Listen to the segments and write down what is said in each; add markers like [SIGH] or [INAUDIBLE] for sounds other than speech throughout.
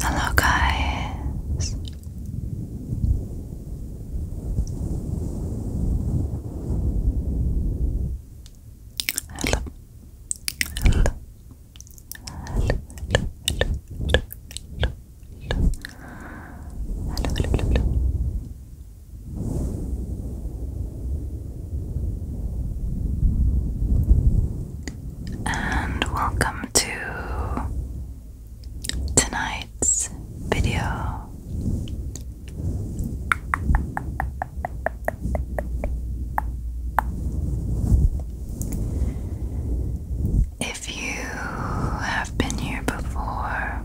Hello, guys. Hello. Hello. Hello. Hello. Hello. And welcome to tonight's video. If you have been here before,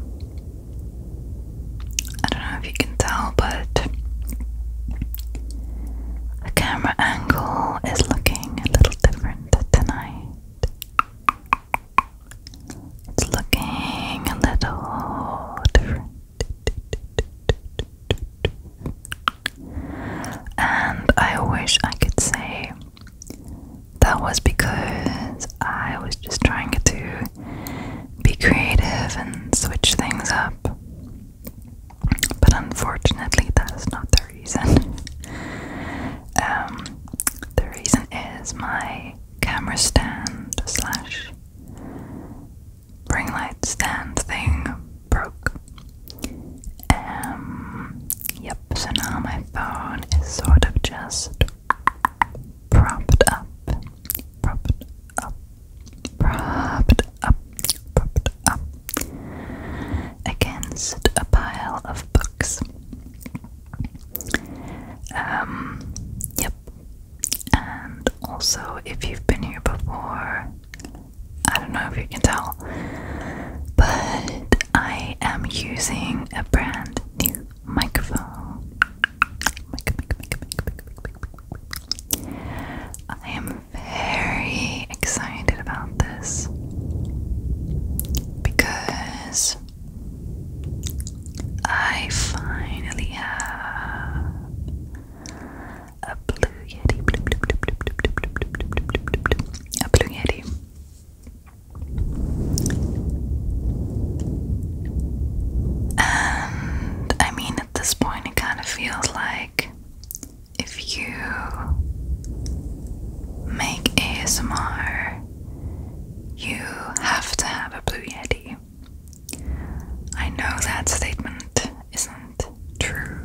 I don't know if you can tell, but the camera angle is looking a little different tonight. It's looking a little different. And I wish I could say that was because I was just trying to be creative and switch things up. But unfortunately, that is not the reason. [LAUGHS] um, the reason is my camera stand slash ring light stand thing broke. Um, yep, so now my phone is sort of just propped up, propped up, propped up, propped up against a pile of books. Um, yep. And also, if you've been here before, I don't know if you can tell, but I am using a brand new microphone. I am very excited about this because I finally have a blue yeti. A blue yeti. And I mean, at this point, it kind of feels like if you make ASMR, you have to have a Blue Yeti. I know that statement isn't true,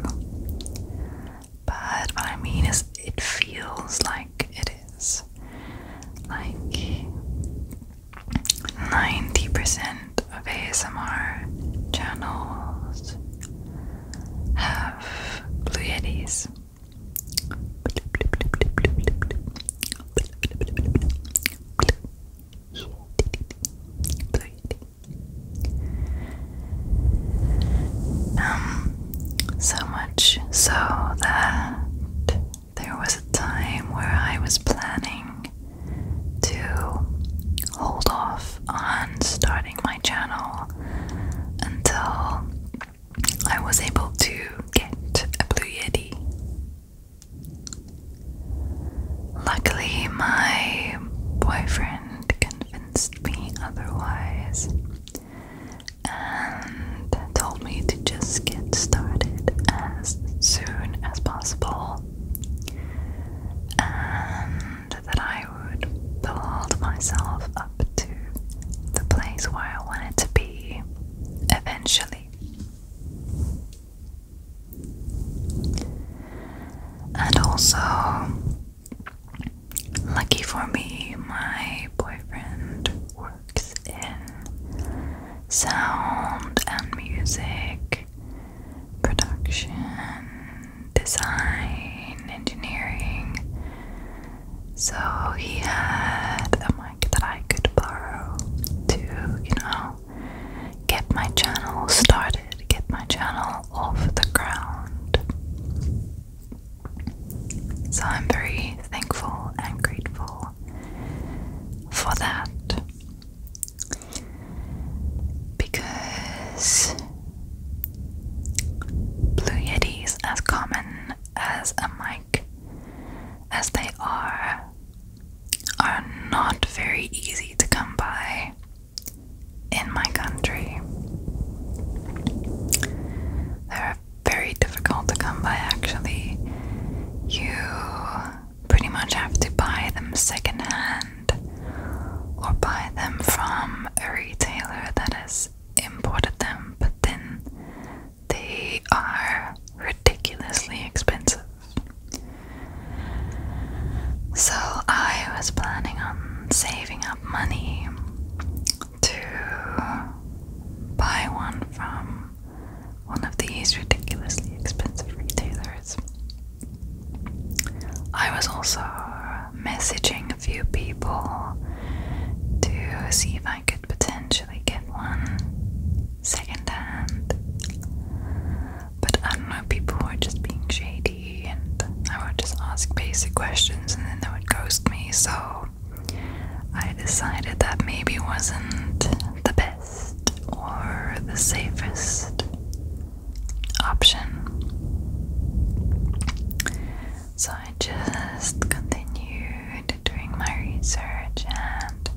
but what I mean is, it feels like it is like 90% of ASMR channels have Blue Yetis. So much so that there was a time where I was planning to hold off on starting my channel until I was able to get a Blue Yeti. Luckily, my boyfriend convinced me otherwise and told me to just get started as soon as possible and that I would build myself up to the place where I wanted to be eventually. And also, Lucky for me, my boyfriend works in sound and music production, design, engineering. So he had a mic that I could borrow to, you know, get my channel started, get my channel off the ground. So I'm very thankful and grateful for that because Blue Yeti as common as a mic as they are are not very easy to come by in my country. They're very difficult to come by actually. You pretty much have to buy them secondhand or buy them from a retailer that has imported them, but then they are ridiculously expensive. So I was planning on saving up money to buy one from one of these ridiculously expensive retailers. I was also messaging a few people to see if I could potentially get one secondhand, but I don't know, people are just being shady be, and I would just ask basic questions and then they would ghost me. So I decided that maybe wasn't the best or the safest option. So I just continued doing my research and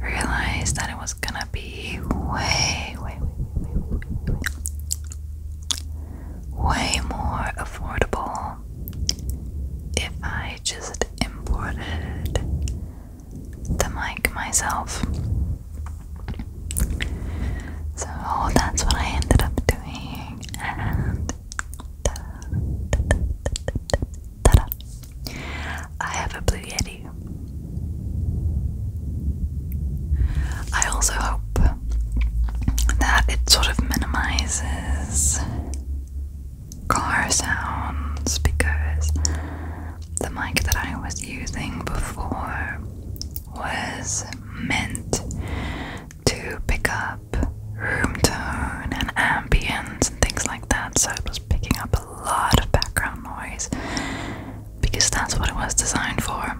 realized that it was gonna be way, way, way, way, way, way, way way more affordable if I just imported the mic myself. So that's what I ended up doing, and ta -da, I have a Blue Yeti. I also hope that it sort of minimizes car sounds because the mic that I was using before was meant to pick up room tone and ambience and things like that, so it was picking up a lot of background noise because that's what it was designed for.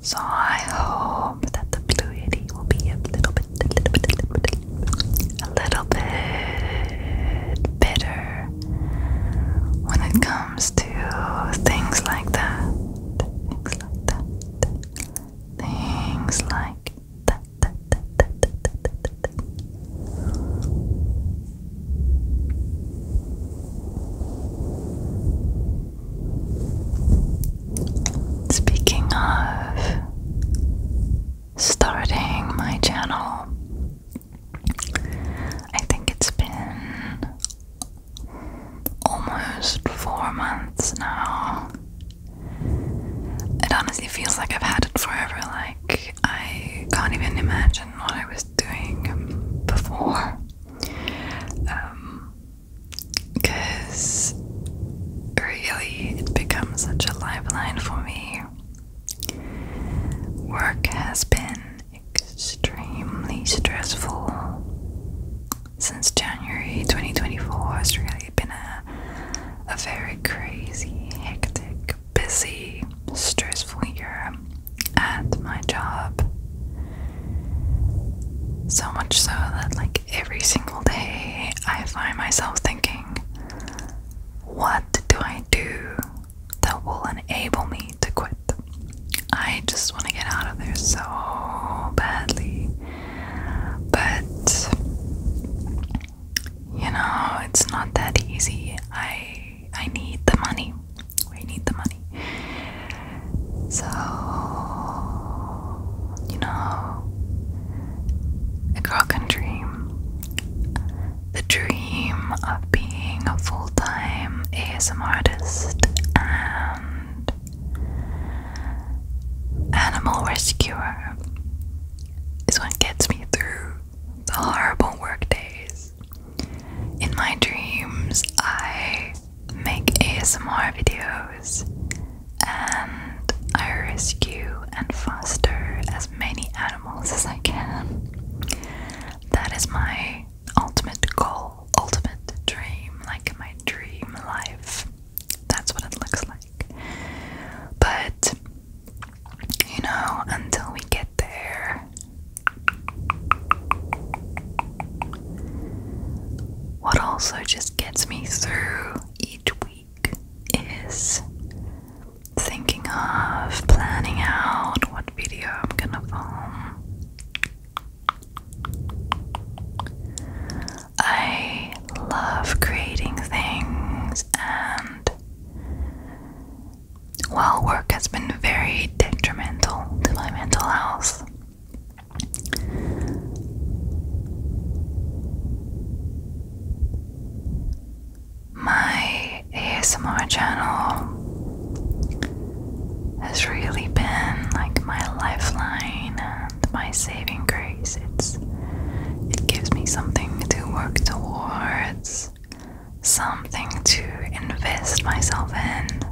So I hope that the fluidity will be a little bit, a little bit, a little bit, a little bit better when it comes to things like that, things like that, things like that. that, that, that, that, that, that. Speaking of starting my channel, I think it's been almost four months now. It honestly feels like I've had it forever, like, I can't even imagine what I was doing before. because um, really it becomes such a lifeline for me. Work has been extremely stressful since January 2024. It's really been a, a very crazy, hectic, busy, stressful year at my job. So much so that, like, every single day I find myself thinking, what do I do that will enable me to quit? I just want to get out of there so badly. But, you know, it's not that easy. I I need the money. We need the money. So, you know, a girl can dream. The dream of being a full time ASM artist and animal rescuer is what gets me through the horrible work days in my dreams, I make ASMR videos and I rescue and foster as many animals as I can. That is my ultimate goal, ultimate dream, like my dream life. That's what it looks like. But you know, until we get there. What also just gets me through each week is thinking of planning out what video I'm gonna film. I love creating things and while work has been very detrimental to my mental health, my ASMR channel has really been like my lifeline and my saving grace. It's it gives me something to work towards something to invest myself in,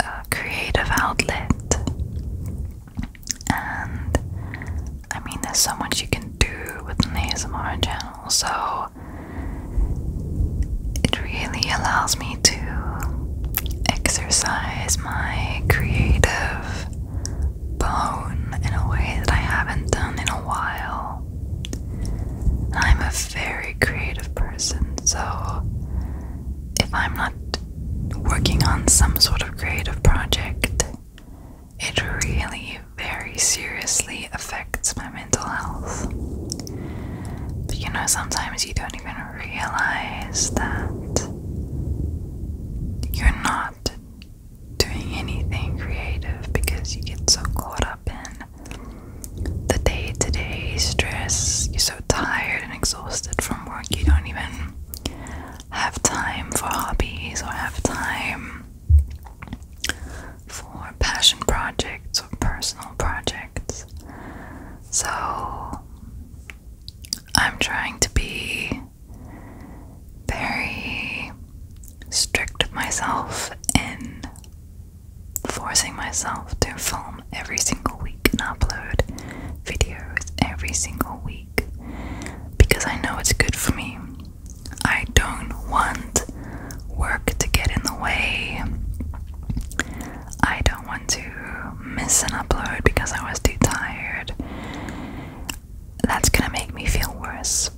a creative outlet. And I mean, there's so much you can do with an ASMR channel, so it really allows me to exercise my creative bone in a way that I haven't done in a while. I'm a very creative person, so if I'm not working on some sort of creative project, it really very seriously affects my mental health. But you know, sometimes you don't even realize that you're not doing anything creative because you get so caught up in the day to day stress. You're so tired and exhausted from work, you don't even have time for hobbies or have time for passion projects or personal projects. So I'm trying to be very strict myself and forcing myself to film every single week and upload videos every single week because I know it's good for me. I don't want work to get in the way. I don't want to miss an upload because I was too tired. That's gonna make me feel worse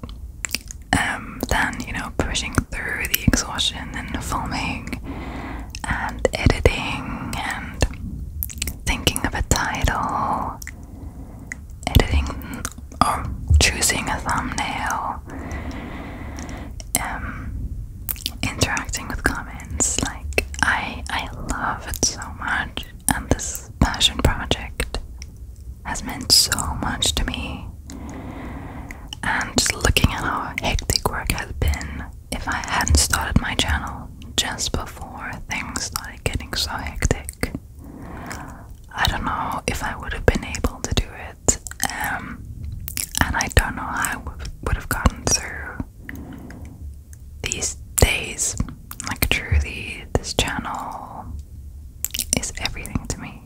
um, then you know pushing through the exhaustion and filming and editing and thinking of a title, editing or choosing a thumbnail, um, interacting with comments. Like I, I love it so much, and this passion project has meant so much to me. And just looking at how hectic work has been, if I hadn't started my channel just before things started getting so hectic, I don't know if I would have been able to do it. Um, and I don't know how I would have gotten through these days, like through the, this channel is everything to me.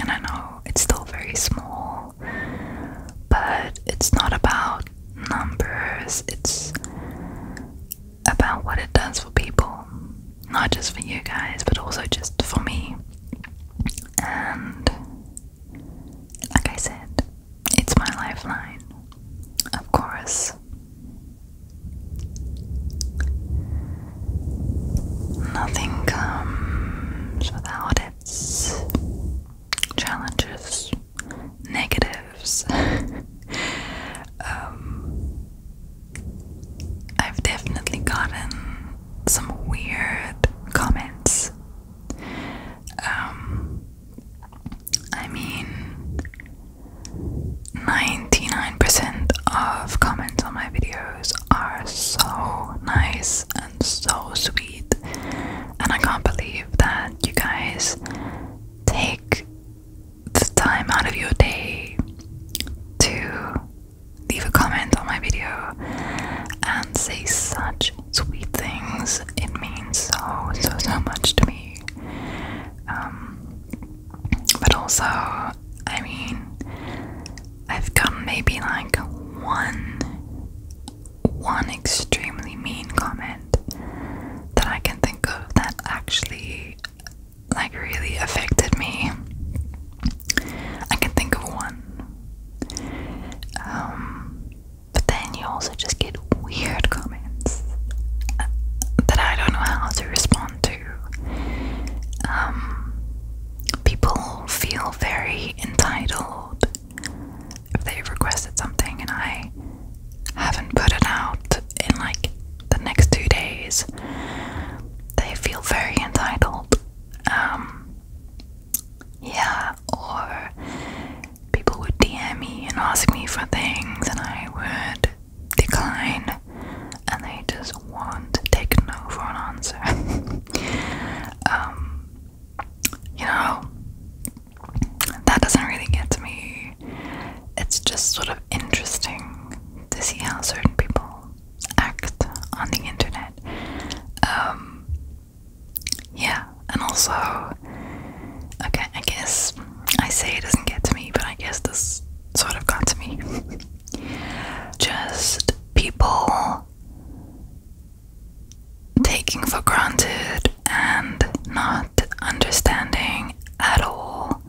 And I know it's still very small, but it's not about numbers, it's about what it does for people. Not just for you guys, but also just for me. And like I said, it's my lifeline. Of course, Nothing comes without its challenges, negatives. [LAUGHS] Um, I've definitely gotten some weird comments. Um, I mean, 99% of comments on my videos are so nice and so sweet, and I can't believe that you guys take the time out of your day to leave a comment on my video and say such sweet things. It means so, so, so much to me. Um, but also, I mean, I've got maybe like one one extremely mean comment that I can think of that actually like really affected me. I can think of one. Um, but then you also just get weird comments that I don't know how to respond to. Um, people feel very entitled if they've requested something and I haven't put it out in like the next two days. They feel very entitled. Um, yeah, or people would DM me and ask me for things, and I would decline and they just won't take no for an answer. [LAUGHS] Um, you know, that doesn't really get to me. It's just sort of interesting to see how certain people act on the internet. Um, yeah, and also, okay, I guess I say it doesn't get to me, but I guess this sort of got to me. [LAUGHS] Just people taking for granted and not understanding at all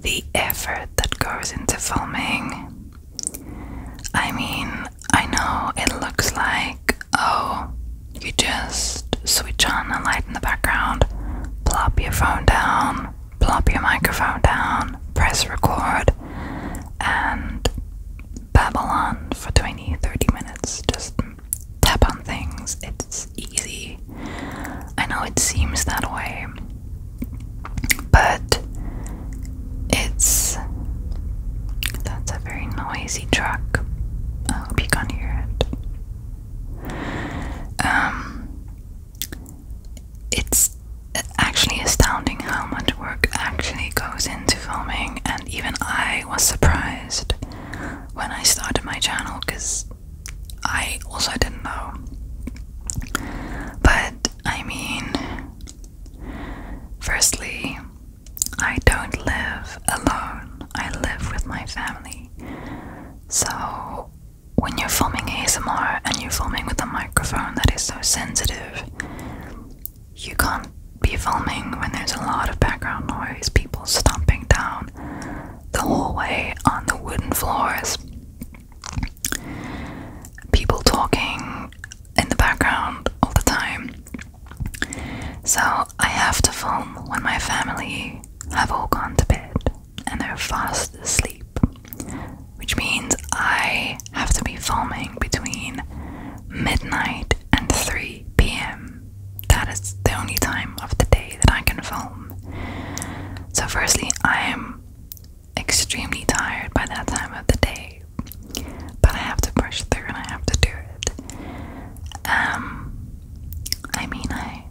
the effort that goes into filming. I mean, I know it looks like, oh, you just switch on the light in the background, plop your phone down, plop your microphone down, press record, and babble on for 20 30 minutes. Just tap on things. It's easy. I know it seems that way, but it's. That's a very noisy truck. I hope you can hear it. Um, it's actually astounding how much work actually goes into filming, and even I was surprised when I started my channel because I also didn't know. But I mean, firstly, I don't live alone, I live with my family. So, when you're filming ASMR and you're filming with a microphone that is so sensitive, you can't be filming when there's a lot of background noise, people stomping down the hallway on the wooden floors, people talking in the background all the time. So, I have to film when my family have all gone to bed and they're fast asleep, which means I have to be filming between midnight and 3 pm. That is the only time of the day that I can film. So, firstly, I am extremely tired by that time of the day, but I have to push through and I have to do it. Um, I mean, I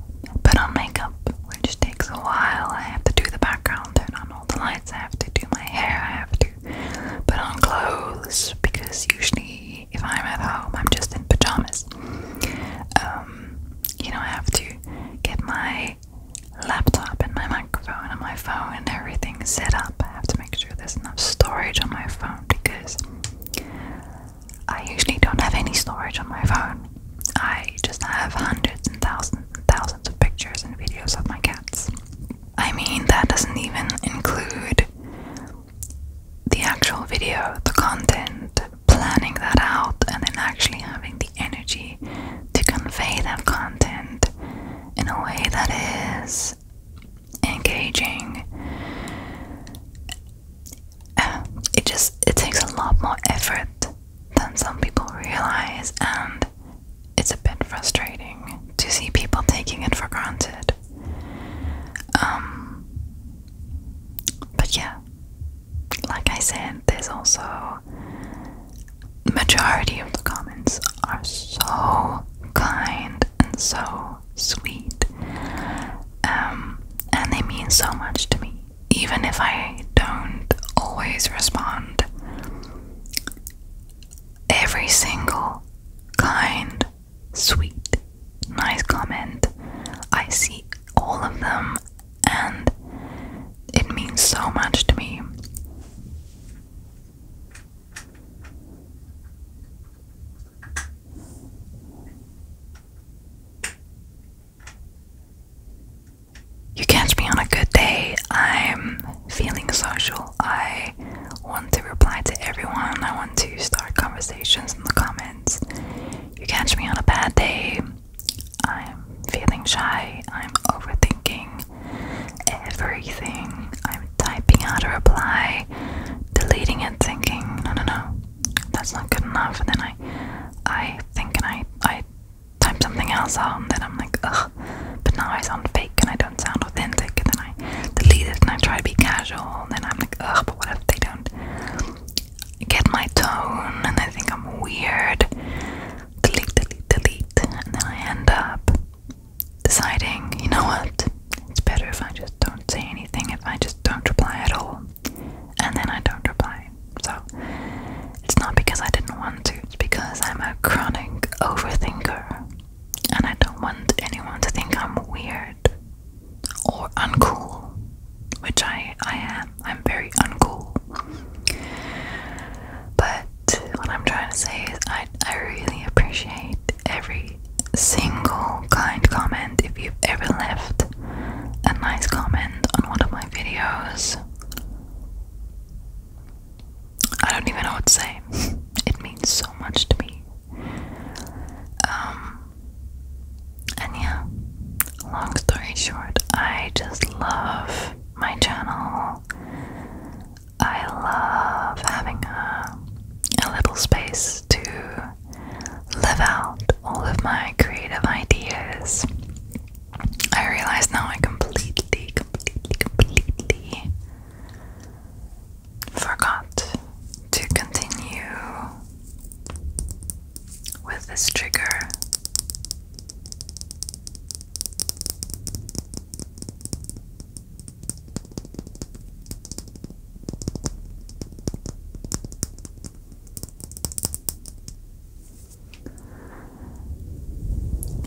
put on makeup, which takes a while. I have to do the background, turn on all the lights, I have to do my hair, I have to put on clothes because usually if I'm at home, I'm just in pajamas. Um, you know, I have to get my laptop and my microphone and my phone and everything set up. I have to make sure there's enough storage on my phone because I usually don't have any storage on my phone. I just have hundreds and thousands and thousands of pictures and videos of my cats. I mean, that doesn't even include the actual video, the content, planning that out, and then actually having the energy to convey that content in a way that is engaging um, it just it takes a lot more effort than some people realize and it's a bit frustrating to see people taking it for granted um but yeah like i said there's also the majority of the comments are so kind and so sweet. Um, and they mean so much to me, even if I don't always respond. Every single kind, sweet, nice comment, I see all of them, and it means so much to me. You catch me on a good day. I'm feeling social. I want to reply to everyone. I want to start conversations in the comments. You catch me on a bad day. I'm feeling shy. I'm overthinking everything. I'm typing out a reply deleting it, thinking, no, no, no, that's not good enough. And then I, I think and I, I type something else out, and then I'm like, ugh. But now I sound fake and I don't sound authentic. And then I delete it and I try to be casual, and then I'm like, ugh. But what if they don't get my tone, and they think I'm weird? Delete, delete, delete, and then I end up deciding, you know what? It's better if I just don't say anything, if I just don't reply at all. And then I don't reply. So it's not because I didn't want to, it's because I'm a chronic overthinker. And I don't want anyone to think I'm weird or uncool. Which I, I am. I'm very uncool. But what I'm trying to say is I I really appreciate every single kind comment if you've ever left a nice comment on one of my videos. I don't even know what to say. [LAUGHS] It means so much to me. Um, and yeah, long story short, I just love my channel. I love having a a little space to live out all of my creative ideas. I realized now I completely, completely, completely forgot to continue with this trigger.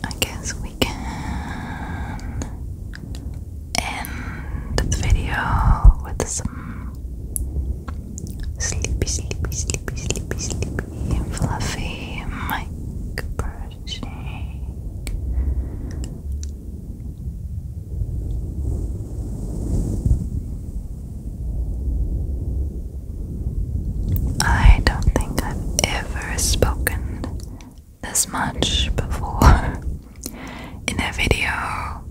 I guess we can end the video with some sleepy, sleepy, sleepy, sleepy, sleepy, fluffy mic brushing. I don't think I've ever spoken this much before [LAUGHS] in a video.